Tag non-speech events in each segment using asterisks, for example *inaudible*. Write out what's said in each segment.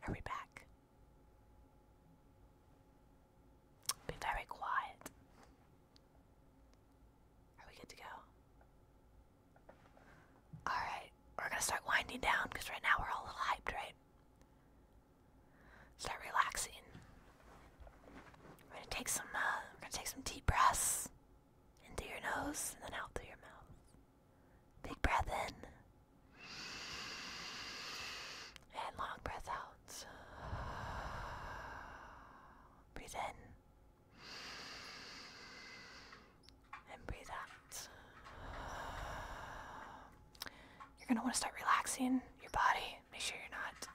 Hurry back. Be very quiet. Are we good to go? Alright, we're gonna start winding down because right now we're all a little hyped, right? Start relaxing. We're gonna take some uh, we're gonna take some deep breaths into your nose and then out through your mouth. Big breath in. And long breath out. Breathe in. And breathe out. You're going to want to start relaxing your body. Make sure you're not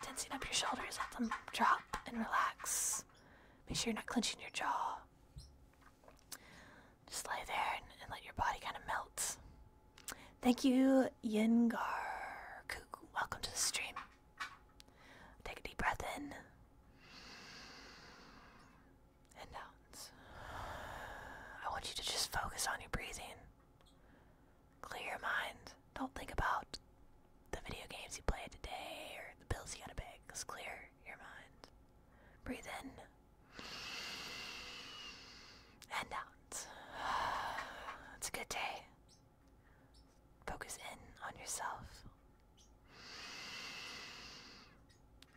tensing up your shoulders. Let them drop and relax. Make sure you're not clenching your jaw. Just lay there and, let your body kind of melt. Thank you, Yengarku. Welcome to the stream. Take a deep breath in and out. I want you to just focus on your breathing. Clear your mind. Don't think about the video games you played today or the bills you gotta pay. Just clear your mind. Breathe in and out. *sighs* It's a good day. Focus in on yourself.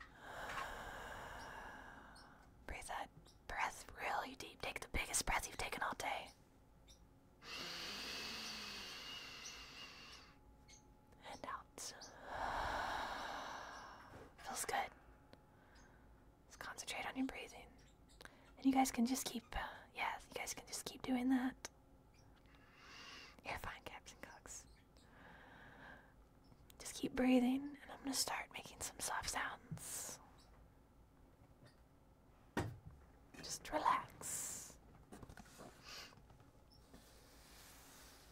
*sighs* Breathe that breath really deep. Take the biggest breath you've taken all day. And out. *sighs* Feels good. Let's concentrate on your breathing. And you guys can just keep, uh, yeah, you guys can just keep doing that. You're fine, Captain Cooks. Just keep breathing, and I'm gonna start making some soft sounds. Just relax.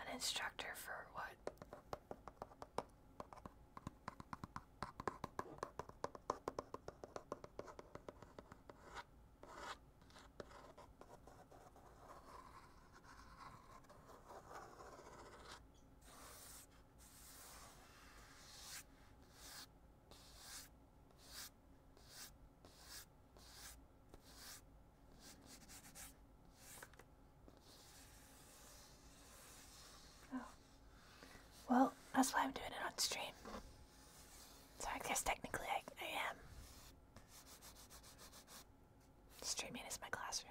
An instructor for what? Oh. Well, that's why I'm doing it on stream. So I guess technically I, I am. Streaming is my classroom.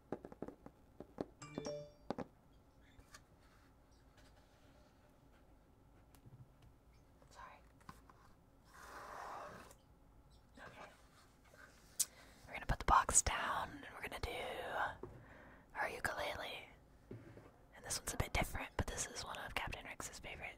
We're gonna put the box down and we're gonna do our ukulele. And this one's a bit different, but this is one of Captain Rex's favorite.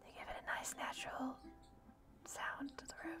they give it a nice natural sound to the room.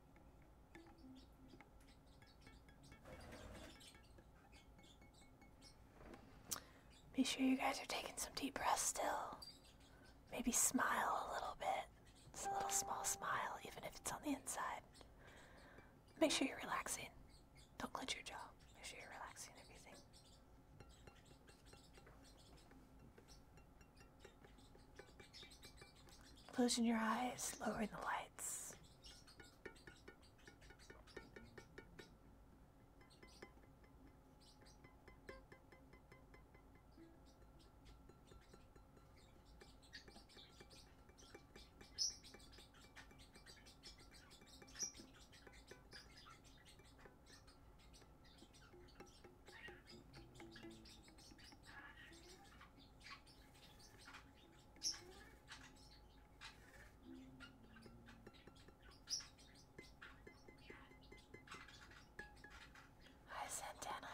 Be sure you guys are taking some deep breaths still. Maybe smile a little bit. It's a little small smile, even if it's on the inside. Make sure you're relaxing. Don't clench your jaw. Make sure you're relaxing everything. Closing your eyes, lowering the lights. Hi, Santana.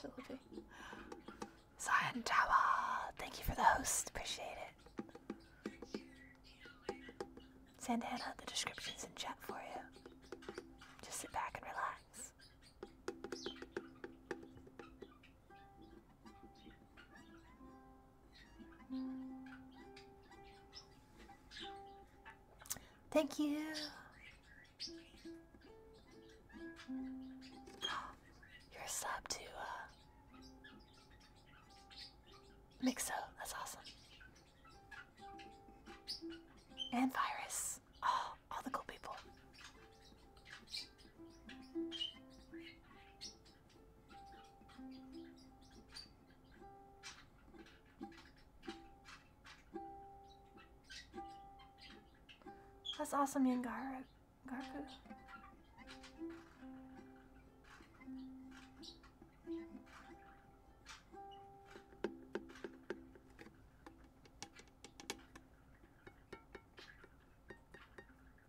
Philippine. Zion thank you for the host. Appreciate it. Santana, the description is in chat for you. Just sit back and relax. Thank you. you sub to uh, Mixo. That's awesome. And Virus. Oh, all the cool people. That's awesome, Yangara. Garku.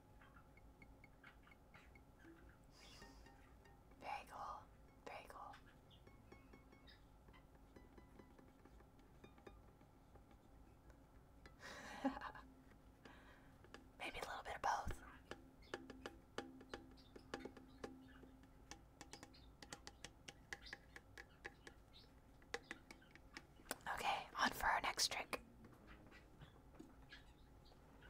Very cool. *laughs* Maybe a little bit of both. Okay, on for our next trick.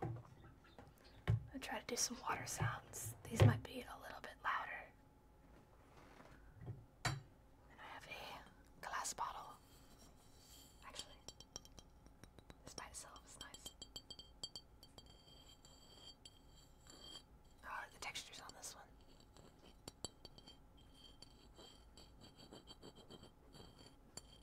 I'll try to do some water sounds. These might be a little bit louder. I have a glass bottle. Actually, this by itself is nice. Oh, the texture's on this one.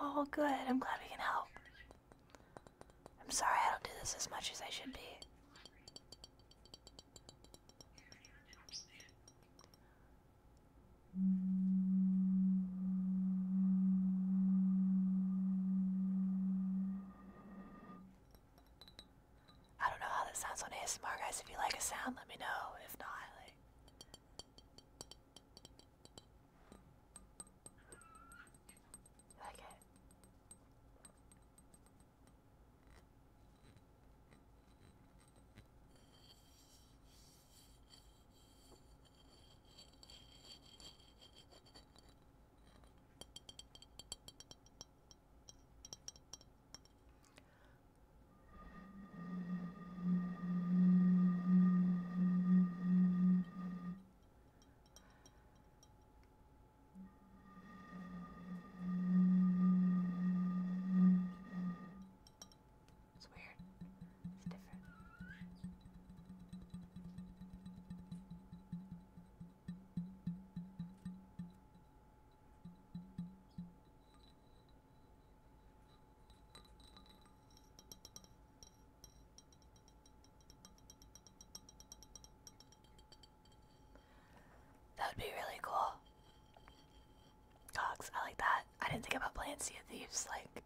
Oh, good. I'm glad we can help. I'm sorry I don't do this as much as I should be. I don't know how this sounds on ASMR, guys. If you like a sound, let me know. If not, like. Okay. It's weird. It's different. That would be really cool. Cogs, I like that. I didn't think about playing Sea of Thieves like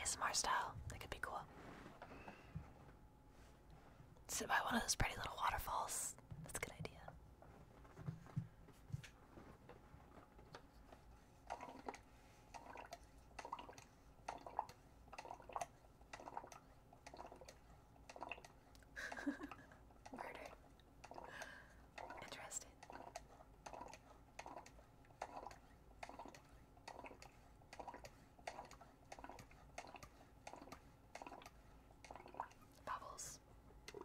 ASMR style. That could be cool. Sit by one of those pretty little waterfalls. That's a good idea. *laughs* Murder. Interesting. Bubbles. I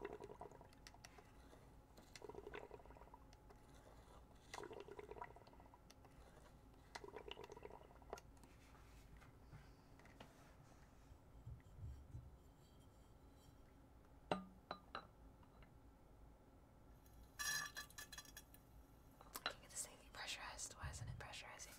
can this thing pressurized. Why isn't it pressurizing?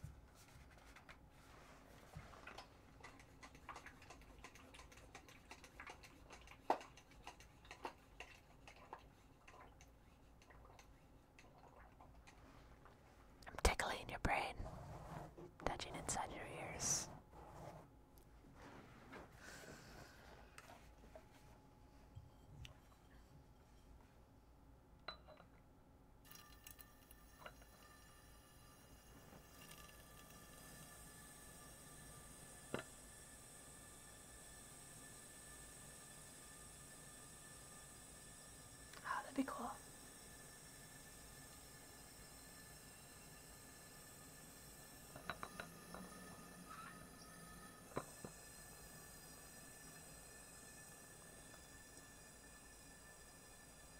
I'm tickling your brain, touching inside your ears. Oh, that'd be cool.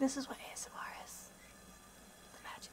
This is what ASMR is. The magic.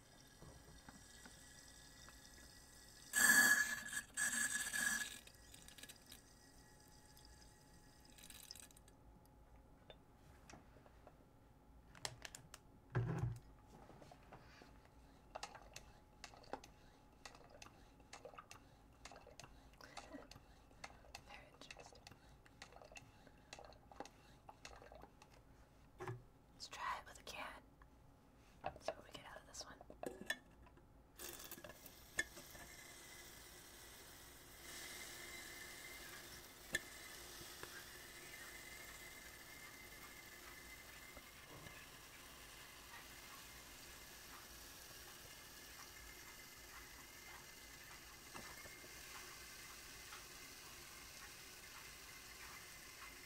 Very interesting. Let's try it with a can. see what we get out of this one.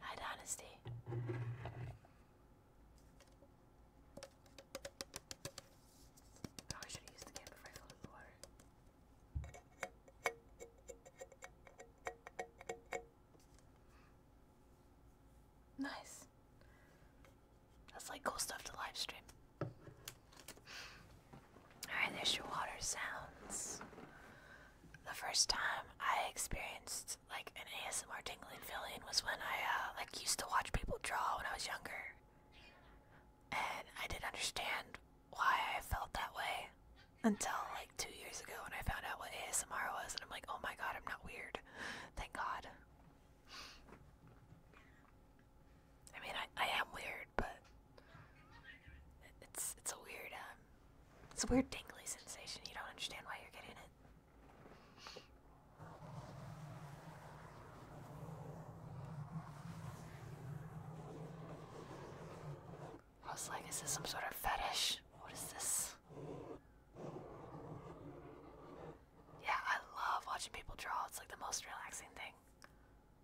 Hide honesty. Oh, I should have the can before I filled in the water. Nice. That's like cool stuff to live stream. Alright, there's your water sounds. The first time I experienced like an ASMR tingling feeling was when I uh, like used to watch people draw when I was younger. And I didn't understand why I felt that way until like two years ago when I found out what ASMR was and I'm like, oh my god, I'm not weird. Thank God. I mean I, I am weird, but it's it's a weird um, it's a weird tingly sensation. You don't understand why you're getting it. I was like, is some sort of fetish? What is this? Yeah, I love watching people draw. It's like the most relaxing thing.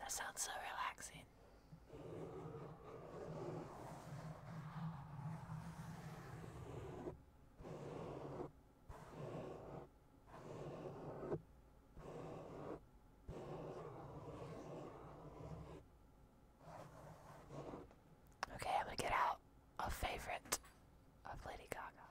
That sounds so relaxing. Okay, I'm gonna get out a favorite of Lady Gaga.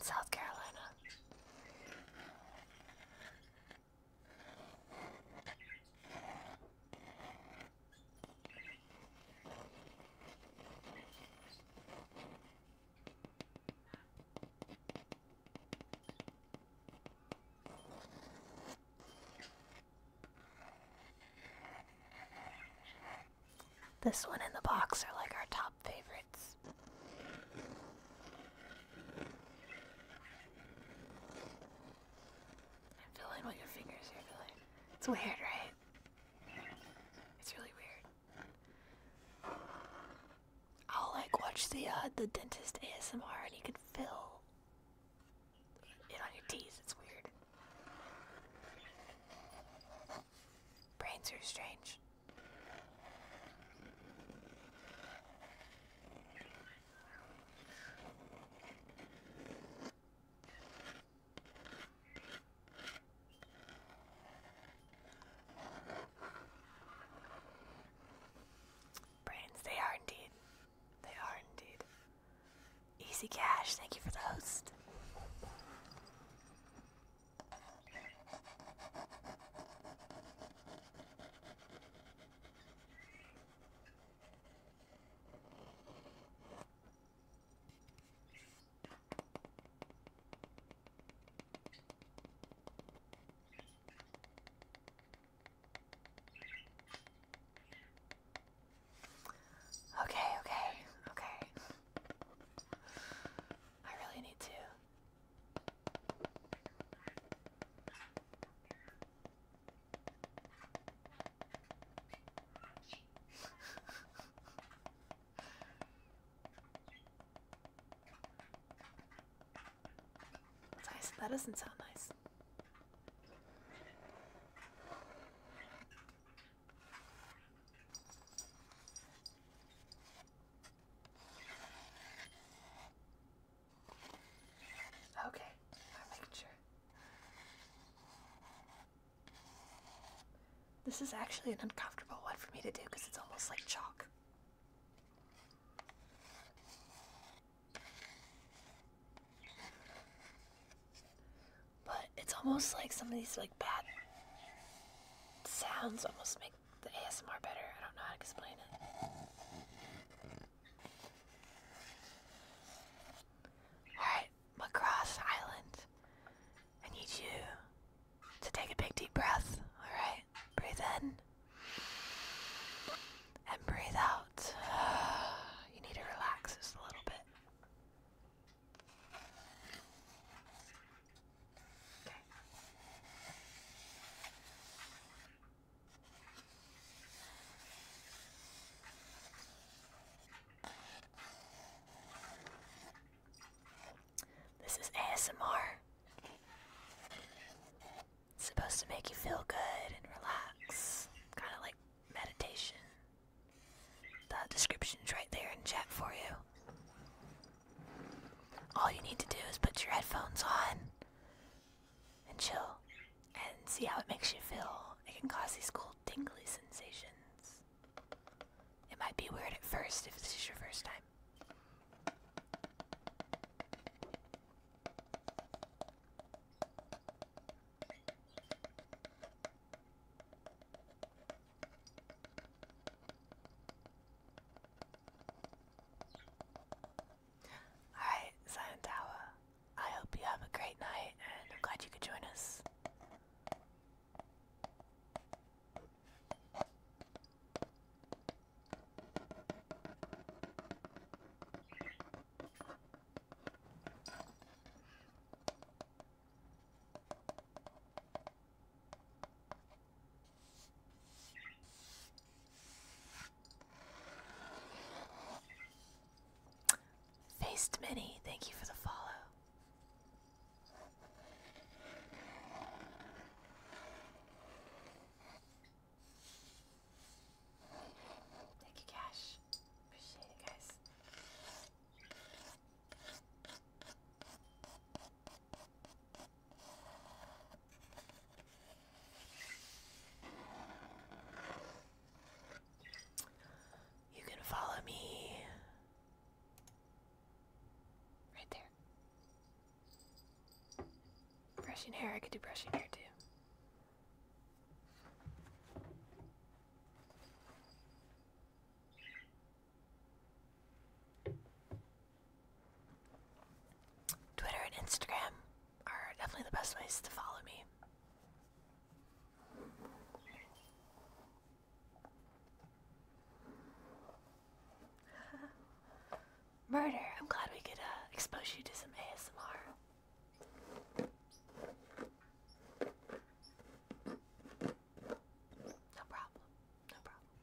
South Carolina. This one in the box are like our top favorites. I'm feeling your fingers are It's weird, right? It's really weird. I'll like watch the uh, the dentist ASMR and you can fill it on your teeth. It's weird. Brains are strange. Brains, they are indeed. They are indeed. Easy Cash, thank you for the host. Okay, okay, okay. I really need to. That doesn't sound nice. Okay, I'm making sure. This is actually an uncomfortable one for me to do because it's almost like chalk. But it's almost like some of these like bad sounds almost make the ASMR better. I don't know how to explain it. Alright, Macross Island. I need you to take a big deep breath. Alright? Breathe in and breathe out. *sighs* You need to relax just a little bit. This is ASMR. It's supposed to make you feel good and relax, kind of like meditation. The description's right there in chat for you. All you need to do is put your headphones on and chill and see how it makes you feel. It can cause these cool tingly sensations. It might be weird at first if this is your first time. Alright, Silent I hope you have a great night and I'm glad you could join us. Faced Mini, thank you for the follow. Thank you, Cash. Appreciate it, guys. You can follow me right there. Brushing hair, I could do brushing hair too. Twitter and Instagram are definitely the best ways to follow me. *laughs* Murder, I'm glad we could uh, expose you to some ASMR. No problem. No problem.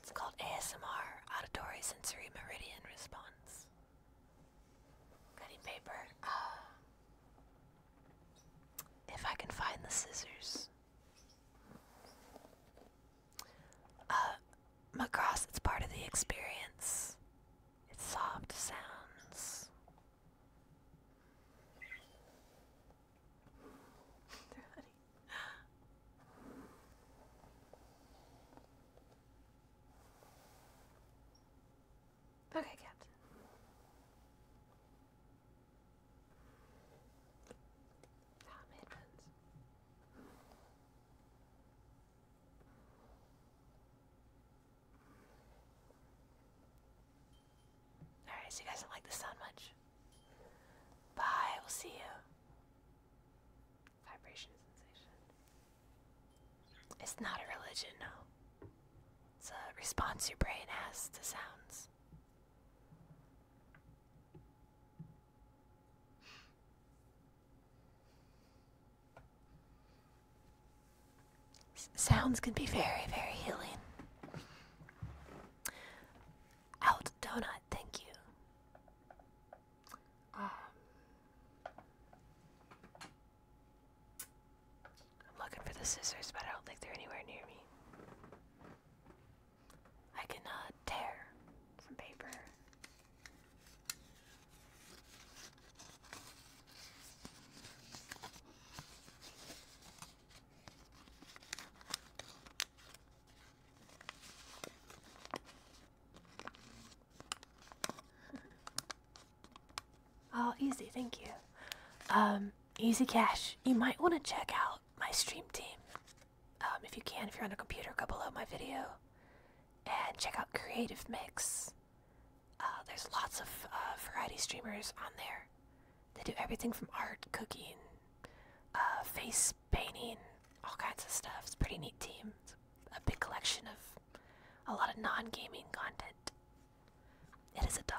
It's called ASMR, Auditory Sensory Meridian Response. Cutting paper. Ah. if I can find the scissors. Uh, Macross, it's part of the experience. It's soft sounds. They're *laughs* funny. Okay, Captain. Alright, so you guys don't like the sound much. Bye, we'll see you. Vibration sensation. It's not a religion, no. It's a response your brain has to sounds sounds can be very, very healing. Out donut, thank you. Um, I'm looking for the scissors, but I don't think they're anywhere near me. I can uh, tear some paper. oh, easy, thank you. Um, easy cash. You might want to check out my stream team. Um, if you can, if you're on a computer, go below my video and check out Creative Mix. Uh, there's lots of uh, variety streamers on there. They do everything from art, cooking, uh, face painting, all kinds of stuff. It's pretty neat team. It's a big collection of a lot of non gaming content. It is a dog.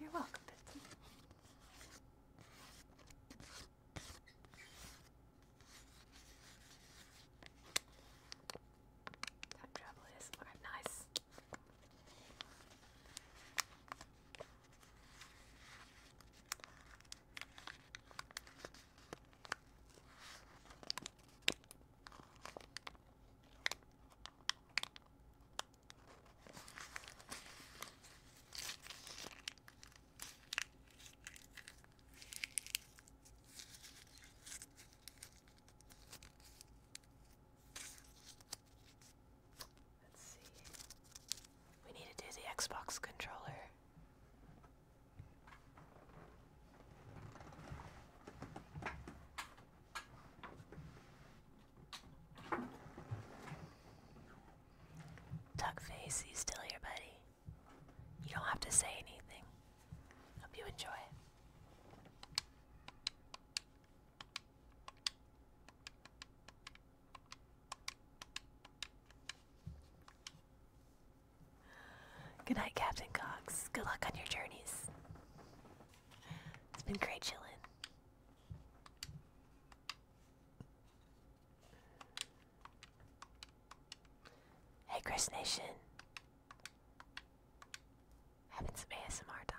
You're welcome, Betsy. Time travel is okay, nice. Let's see. We need to do the Xbox controller. Tuckface, you still here, buddy? You don't have to say anything. Hope you enjoy Good night, Captain Cox. Good luck on your journeys. It's been great chilling. Hey, Chris Nation. Having some ASMR time.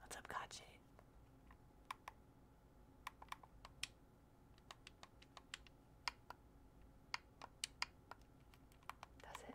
What's up, Kachi? Does it?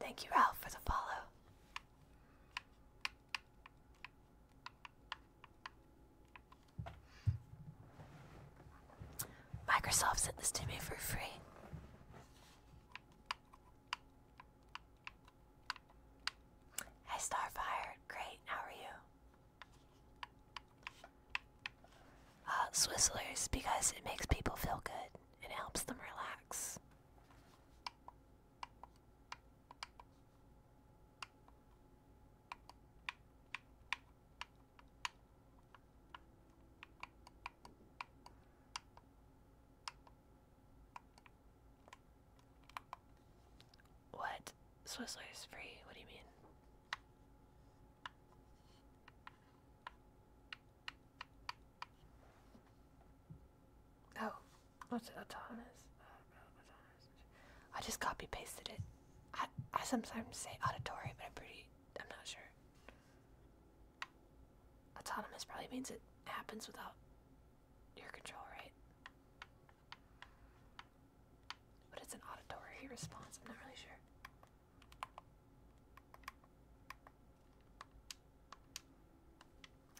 Thank you, Ralph, for the follow. Microsoft sent this to me for free. Hey Starfire, great, how are you? Uh, Swizzlers, because it makes people feel good. and helps them relax. What? Swiss is free? What do you mean? Oh, what's it? Autonomous? I just copy pasted it. I, I sometimes say auditory, but I'm pretty I'm not sure. Autonomous probably means it happens without your control, right? But it's an auditory response, I'm not really sure.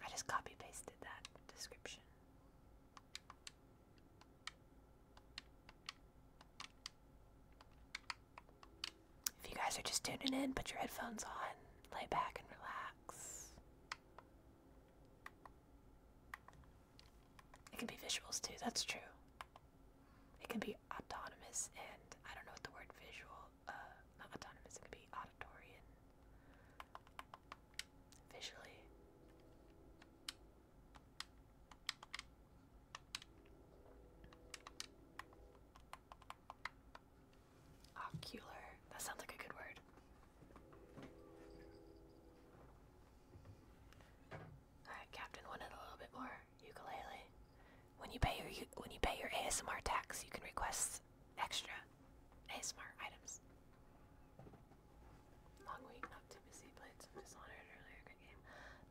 I just copy pasted that description. If you guys are just tuning in, put your headphones on, lay back and relax. It can be visuals too, that's true. It can be autonomous and I don't know what the word visual, uh, not autonomous, it can be auditory and visually. Ocular. That sounds like a good word. Alright, Captain wanted a little bit more ukulele. When you pay your when you pay your ASMR tax, you can request extra ASMR items. Long week, not too busy, played earlier.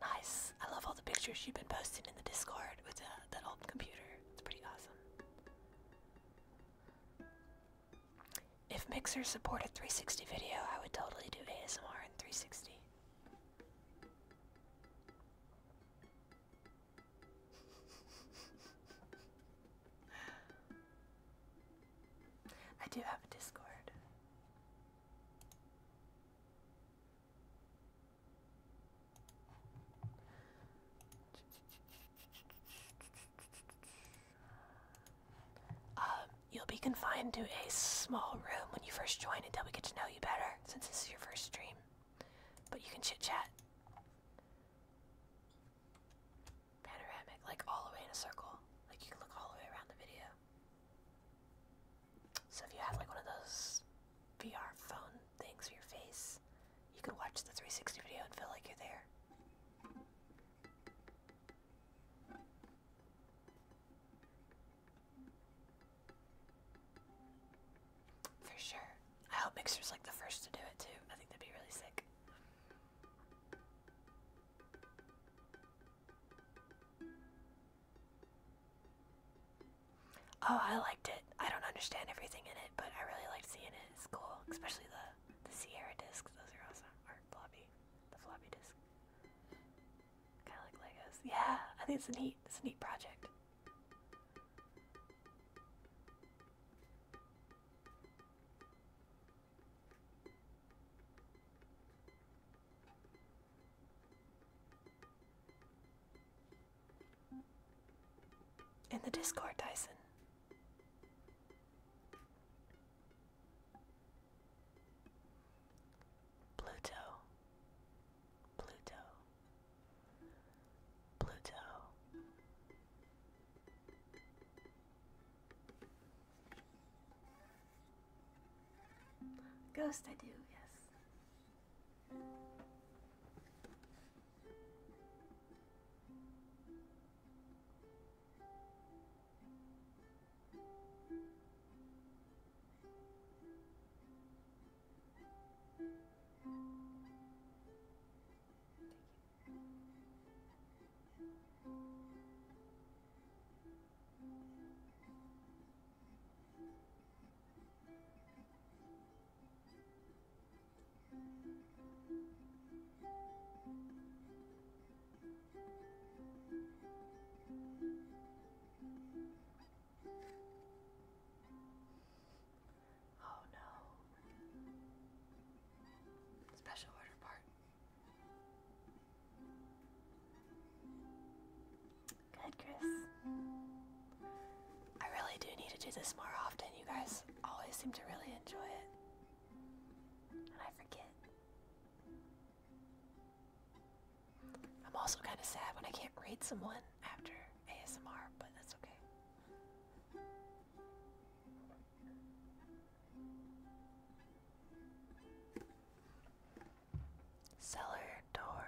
Nice. I love all the pictures you've been posting in the Discord with uh, that old computer. It's pretty awesome. If Mixer supported 360 video, I would totally do ASMR in 360. *laughs* I do have a Discord. Um, you'll be confined to a small room when you first join until we get to know you better, since this is your first stream. But you can chit chat. Panoramic, like all the way in a circle. Like you can look all the way around the video. So if you had like one of those VR phone things for your face, you could watch the 360 video and feel like you're there. For sure. I hope Mixer's like the first to do it too. I think that'd be really sick. Oh, I liked it. I don't understand everything in it, but I really liked seeing it. It's cool, especially the the Sierra discs. Those are awesome. Or floppy, the floppy disk. Kind of like Legos. Yeah, I think it's a neat, it's a neat project. In the Discord, Dyson. Pluto. Pluto. Pluto. Ghost, I do, yes. Thank you. Oh no. Special order part. Good, Chris. I really do need to do this more often. You guys always seem to really enjoy it. And I forget. I'm also kind of sad when I can't read someone after ASMR, but that's okay. Cellar door.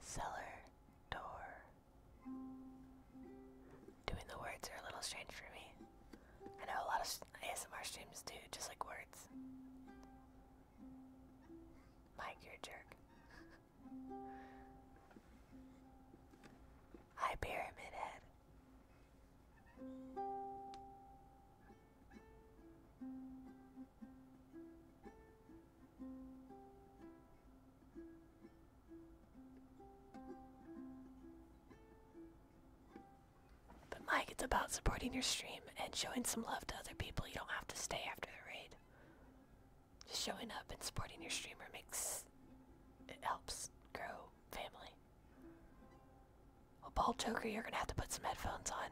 Cellar door. Doing the words are a little strange for me. I know a lot of ASMR streams do just like words. Mike, you're a jerk. *laughs* Hi, Pyramid But Mike, it's about supporting your stream and showing some love to other people. You don't have to stay after the raid. Just showing up and supporting your streamer makes it helps grow family. Well, Bald Joker, you're gonna have to put some headphones on.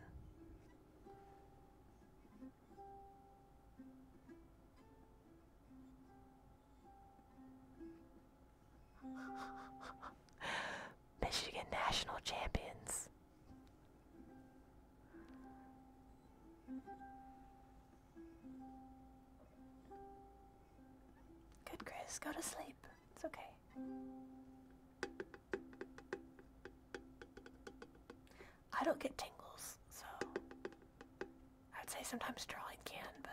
*laughs* Michigan national champions. Good, Chris. Go to sleep. It's okay. I don't get tingles, so I would say sometimes drawing can, but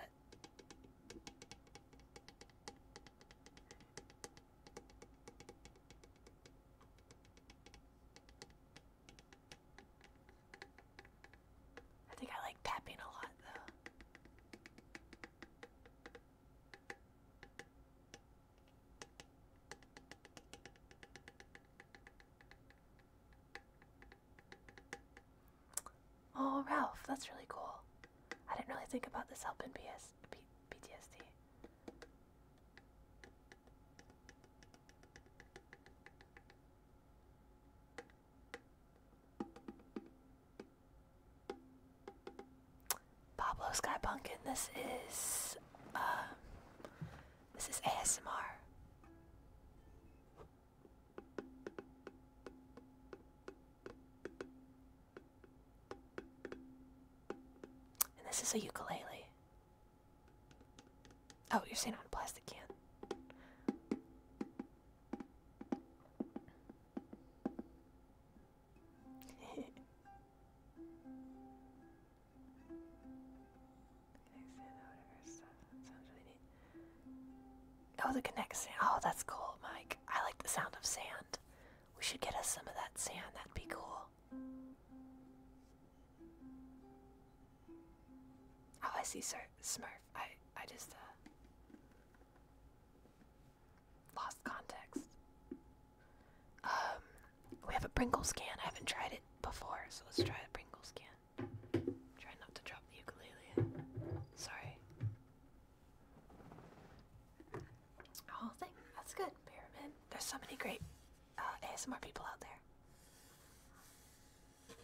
I think I like tapping a lot though. Oh, Ralph, that's really cool. I didn't really think about this helping PS P PTSD. Pablo Sky Pumpkin, this is um, this is ASMR. And this is a ukulele. Oh, you're saying on a plastic can. Oh, the connect Oh, that's cool, Mike. I like the sound of sand. We should get us some of that sand. That'd be cool. Oh, I see, sir. Smurf. I I just uh, lost context. Um, we have a Pringle's can. I haven't tried it before, so let's try the Pringle scan. Try not to drop the ukulele. Sorry. Whole oh, thing. That's good. Pyramid. There's so many great uh, ASMR people out there. Good idea.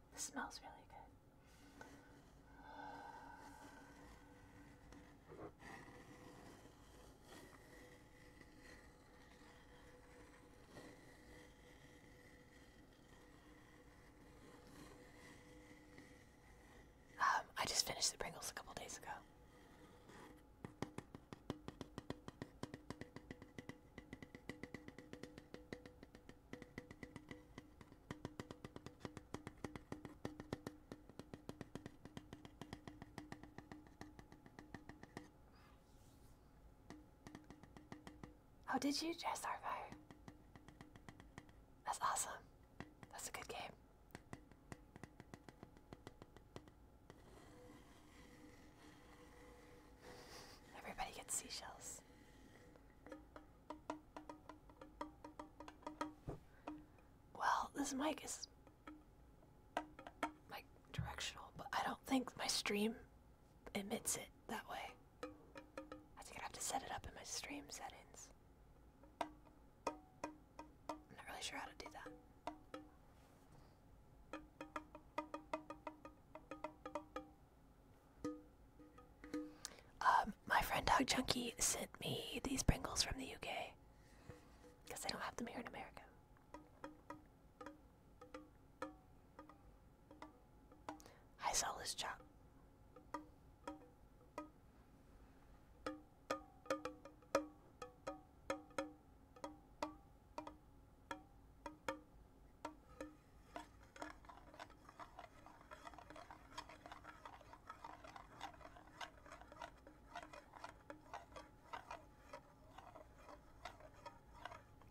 This smells really good. Um, I just finished the Pringles a couple days ago. Oh, did you just Starfire? That's awesome. That's a good game. Everybody gets seashells this. Well, this mic is like directional, but I don't think my stream emits it that way. I think I'd have to set it up in my stream settings. I'm not really sure how to do that. Um, my friend Dog Junkie sent me these Pringles from the UK because they don't have them here in America. I sell this junk.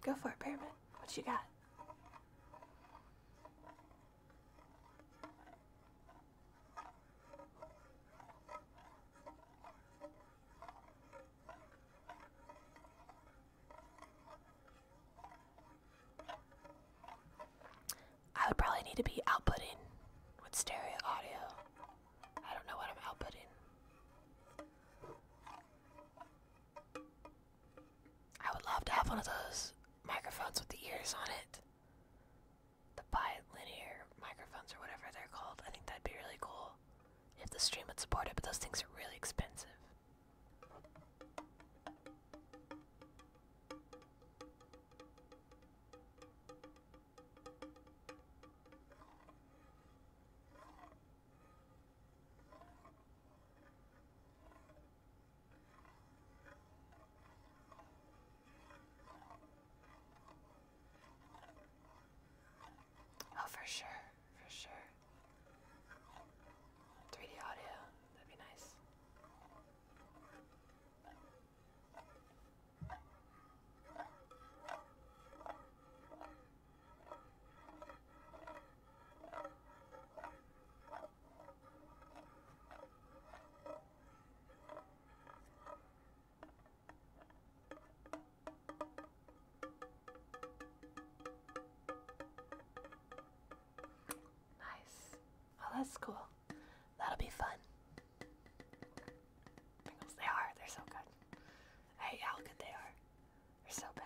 Go for it, Pyramid. What you got? I would probably need to be outputting with stereo audio. I don't know what I'm outputting. I would love to have one of those microphones with the ears on it. The bilinear microphones or whatever they're called. I think that'd be really cool if the stream would support it, but those things are really expensive. Oh, for sure, for sure. 3D audio, that'd be nice. Nice. Well, oh, that's cool. That'll be fun. Pringles, they are. They're so good. I how good they are. They're so bad.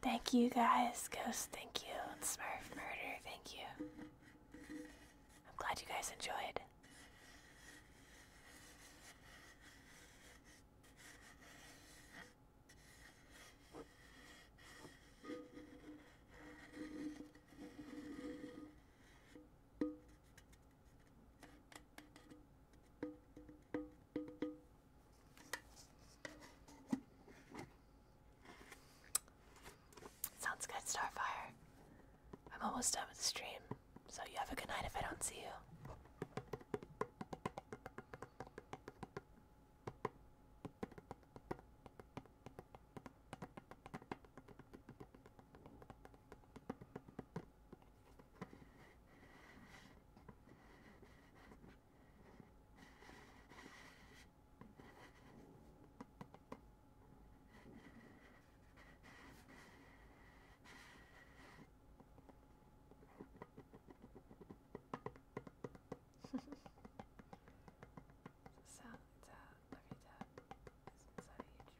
Thank you guys, Ghost, thank you, and Smurf Murder, thank you. I'm glad you guys enjoyed. Sounds good, Starfire. I'm almost done with the stream, so you have a good night if I don't see you so it's a lovely tub. It's inside a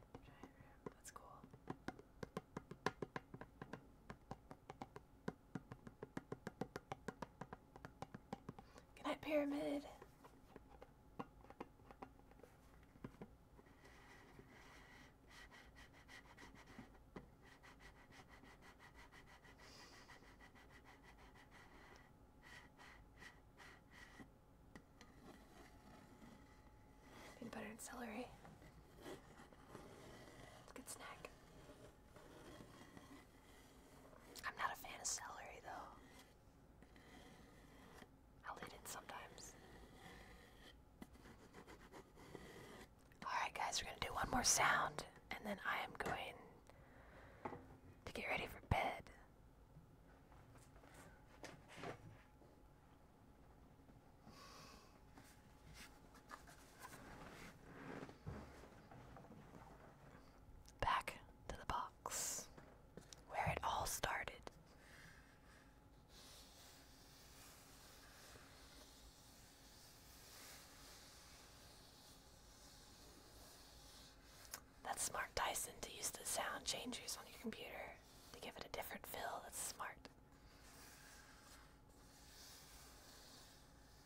huge giant room. That's cool. Goodnight Pyramid. Peanut butter celery. It's a good snack. I'm not a fan of celery though. I'll eat it sometimes. Alright, guys, we're going to do one more sound, and then I am going to get ready for bed back to the box where it all started. That's smart, Dyson, to use the sound changers on your computer to give it a different feel. That's smart.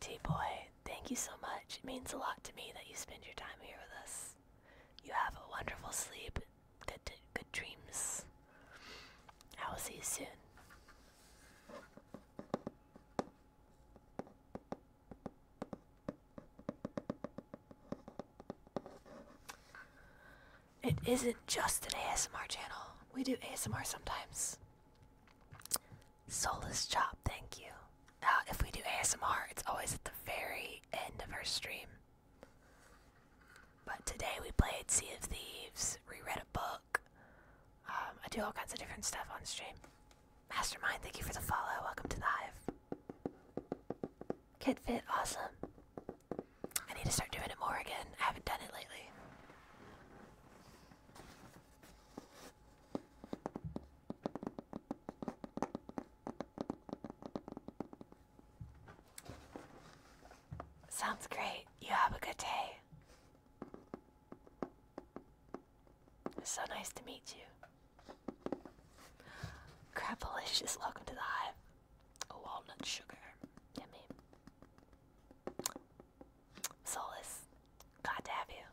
T Boy, thank you so much. It means a lot to me that you spend your time here with us. You have a wonderful sleep. Good, dreams. I will see you soon. It isn't just an ASMR channel. We do ASMR sometimes. Soulless Chop, thank you. Uh, if we do ASMR, it's always at the very end of our stream. But today we played Sea of Thieves, reread a book. Um, I do all kinds of different stuff on stream. Mastermind, thank you for the follow. Welcome to the hive. Kit Fit, awesome. I need to start doing it more again. I haven't done it lately. Sounds great. You have a good day. It so nice to meet you. Crapalicious, welcome to the hive. A oh, walnut sugar. Yummy. Solus, glad to have you.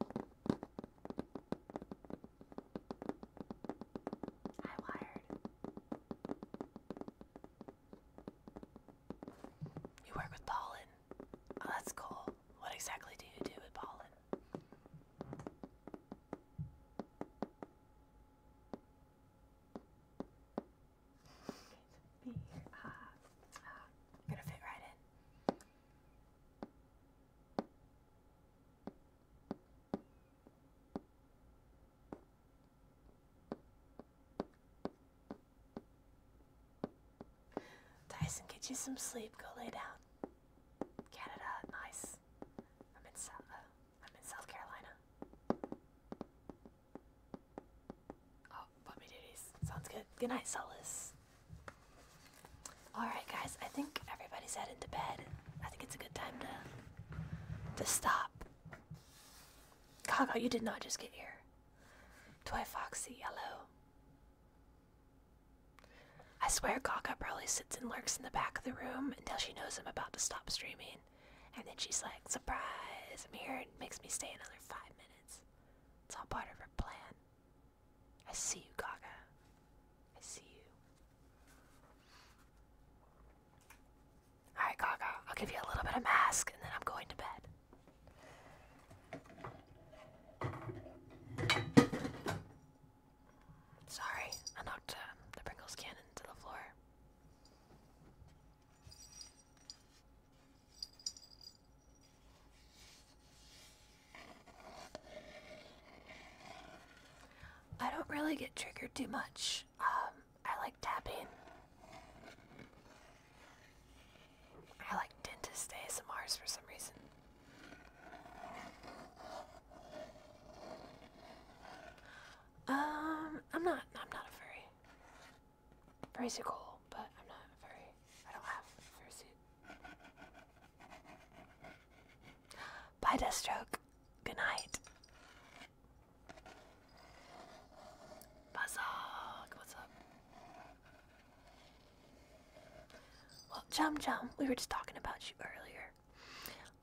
I wired. You work with pollen. Oh, that's cool. What exactly do you do with pollen? Be here. Ah, uh, ah. Uh, gonna fit right in. Tyson, get you some sleep. Go lay down. Canada, nice. I'm in South. Uh, I'm in South Carolina. Oh, puppy duties. Sounds good. Good night, Solace. Alright, guys, I think everybody's headed to bed. I think it's a good time to, to stop. Gaga, you did not just get here. Toy Foxy, Yellow. I swear Gaga probably sits and lurks in the back of the room until she knows I'm about to stop streaming. And then she's like, surprise, I'm here and makes me stay another five minutes. It's all part of her plan. I see you, Gaga. I see you. Alright, Gaga, I'll give you a little bit of mask and then I'm going to bed. Sorry, I knocked um, the Pringles can into the floor. I don't really get triggered too much. Um, I like tapping. I like dentist ASMRs for some reason. Um, I'm not, I'm not a furry. Furries cool, but I'm not very. I don't have a fursuit. Bye, Deathstroke. Good night. Buzzog, what's up? Well, Jum Jum, we were just talking about you earlier.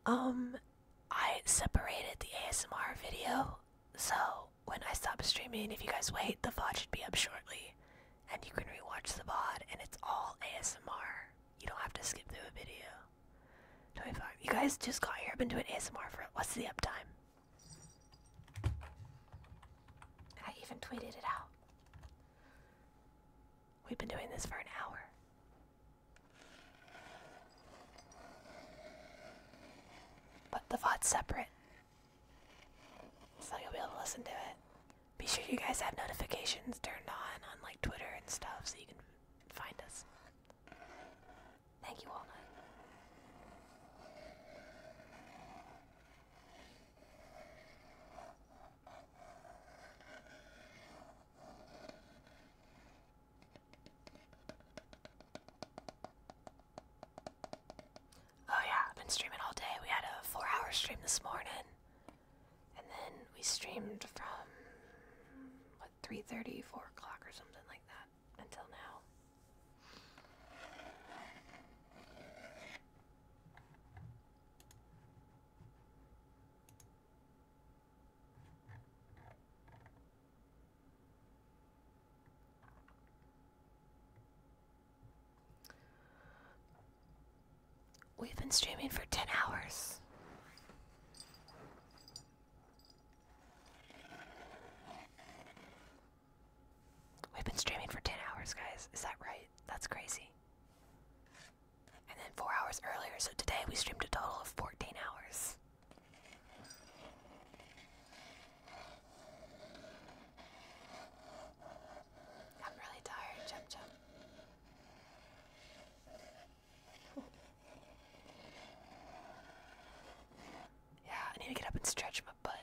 Um, I separated the ASMR video, so when I stop streaming, if you guys wait, the VOD should be up shortly and you can rewatch the VOD, and it's all ASMR. You don't have to skip through a video. 25. You guys just got here. I've been doing ASMR for what's the uptime? I even tweeted it out. We've been doing this for an hour. But the VOD's separate so you'll be able to listen to it. Be sure you guys have notifications turned on on like Twitter and stuff so you can find us. Thank you, Walnut. Oh yeah, I've been streaming all day. We had a four-hour stream this morning, and then we streamed from what 3:30, 4 o'clock, or something like that until now. We've been streaming for 10 hours. We've been streaming for 10 hours, guys. Is that right? That's crazy. And then 4 hours earlier, so today we streamed a total of 14 hours. I'm really tired, jump, jump. yeah, I need to get up and stretch my butt.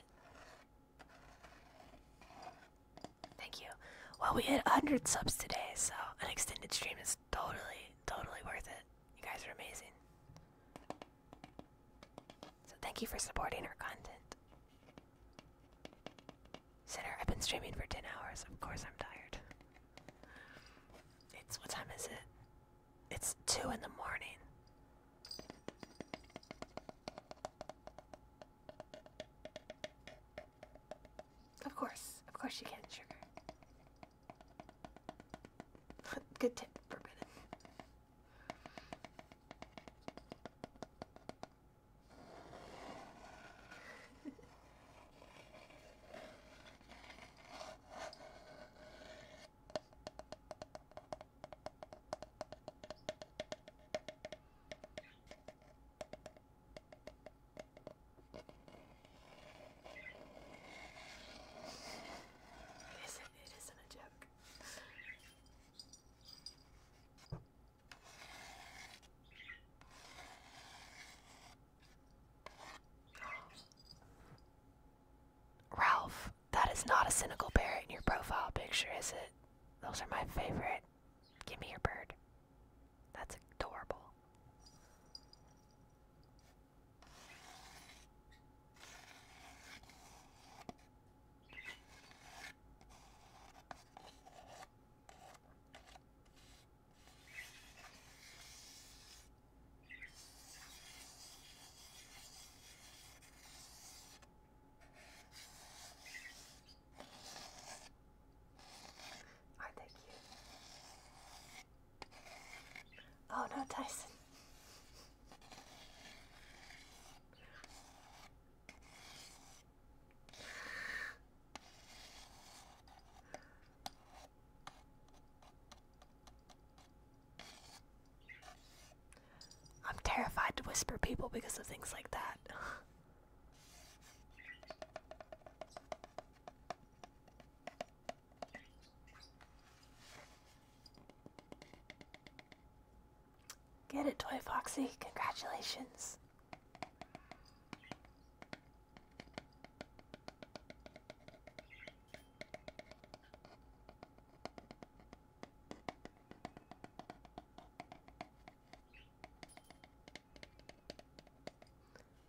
Thank you. Well, we hit 100 subs today, so an extended stream is totally, totally worth it. You guys are amazing. So thank you for supporting our content. Sinner, I've been streaming for 10 hours. Of course I'm tired. It's, what time is it? It's 2 in the morning. Of course. Of course you can, not sugar. *laughs* Good tip, forbidden it isn't, it isn't a joke. Ralph, that is not a cynical parrot in your profile picture, is it? Those are my favorite. Give me your bird. That's adorable. Aren't they cute? Oh no, Tyson. I'm terrified to whisper people because of things like that. Get it, Toy Foxy. Congratulations.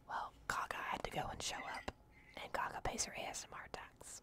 Well, Gaga had to go and show up, and Gaga pays her ASMR tax.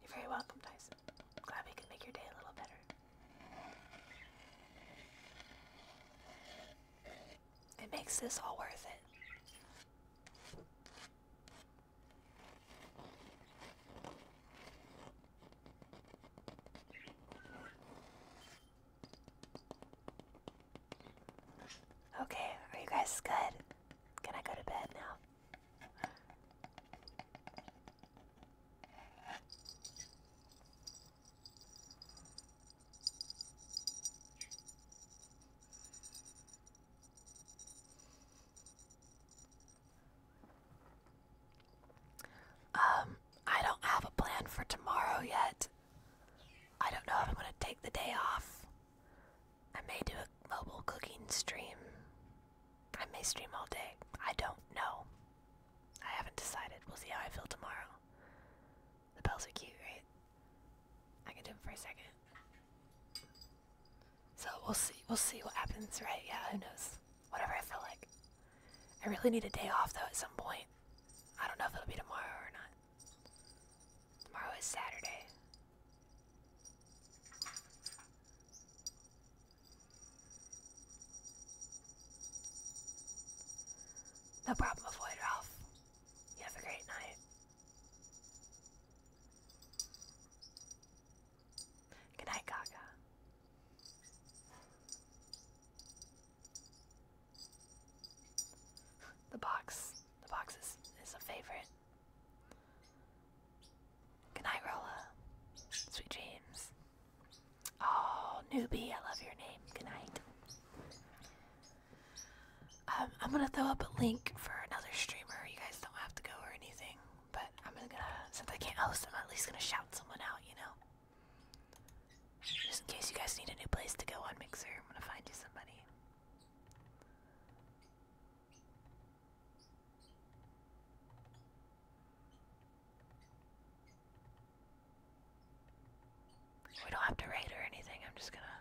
You're very welcome, Tyson. Glad we could make your day a little better. It makes this all worth it. Okay, are you guys good? Can I go to bed now? Um, I don't have a plan for tomorrow yet. I don't know if I'm going to take the day off. I may do a mobile cooking stream. I may stream all day. I don't know. I haven't decided. We'll see how I feel tomorrow. The bells are cute, right? I can do them for a second. So we'll see. We'll see what happens, right? Yeah, who knows? Whatever I feel like. I really need a day off though at some point. I don't know if it'll be tomorrow or not. Tomorrow is Saturday. No problem, Floyd Ralph. You have a great night. Good night, Gaga the box. The box is, is a favorite. Good Rolla. Sweet dreams. Oh, newbie, I love your name. Good Um, I'm gonna throw up a link for another streamer. You guys don't have to go or anything, but I'm gonna since I can't host, I'm at least gonna shout someone out. You know, just in case you guys need a new place to go on Mixer, I'm gonna find you somebody. We don't have to raid or anything, I'm just gonna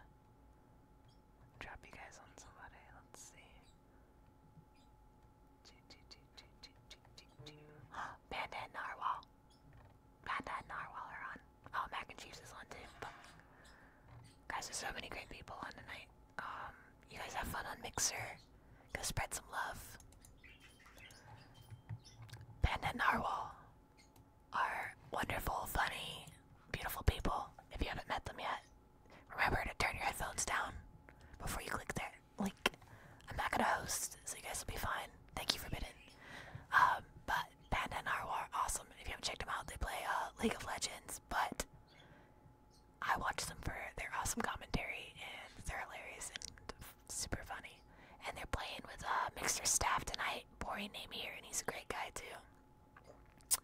drop you guys on somebody. Let's see. Panda *gasps* and Narwhal. Panda and Narwhal are on. All oh, mac and cheese is on tape, guys, there's so many great people on tonight. Um, you guys have fun on Mixer. Go spread some love. Panda and Narwhal are wonderful, funny, beautiful people. If you haven't met them yet, remember to turn your headphones down before you click their link. I'm not gonna host, so you guys will be fine. Thank you, Forbidden. Um, but Panda and Narwhal awesome. If you haven't checked them out, they play uh, League of Legends, but I watch them for their awesome commentary, and they're hilarious and super funny. And they're playing with a uh, Mixer Staff tonight. Boring name here, and he's a great guy, too.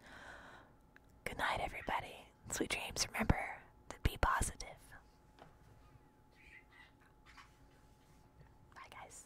Good night, everybody. Sweet dreams. Remember to be positive. Bye, guys.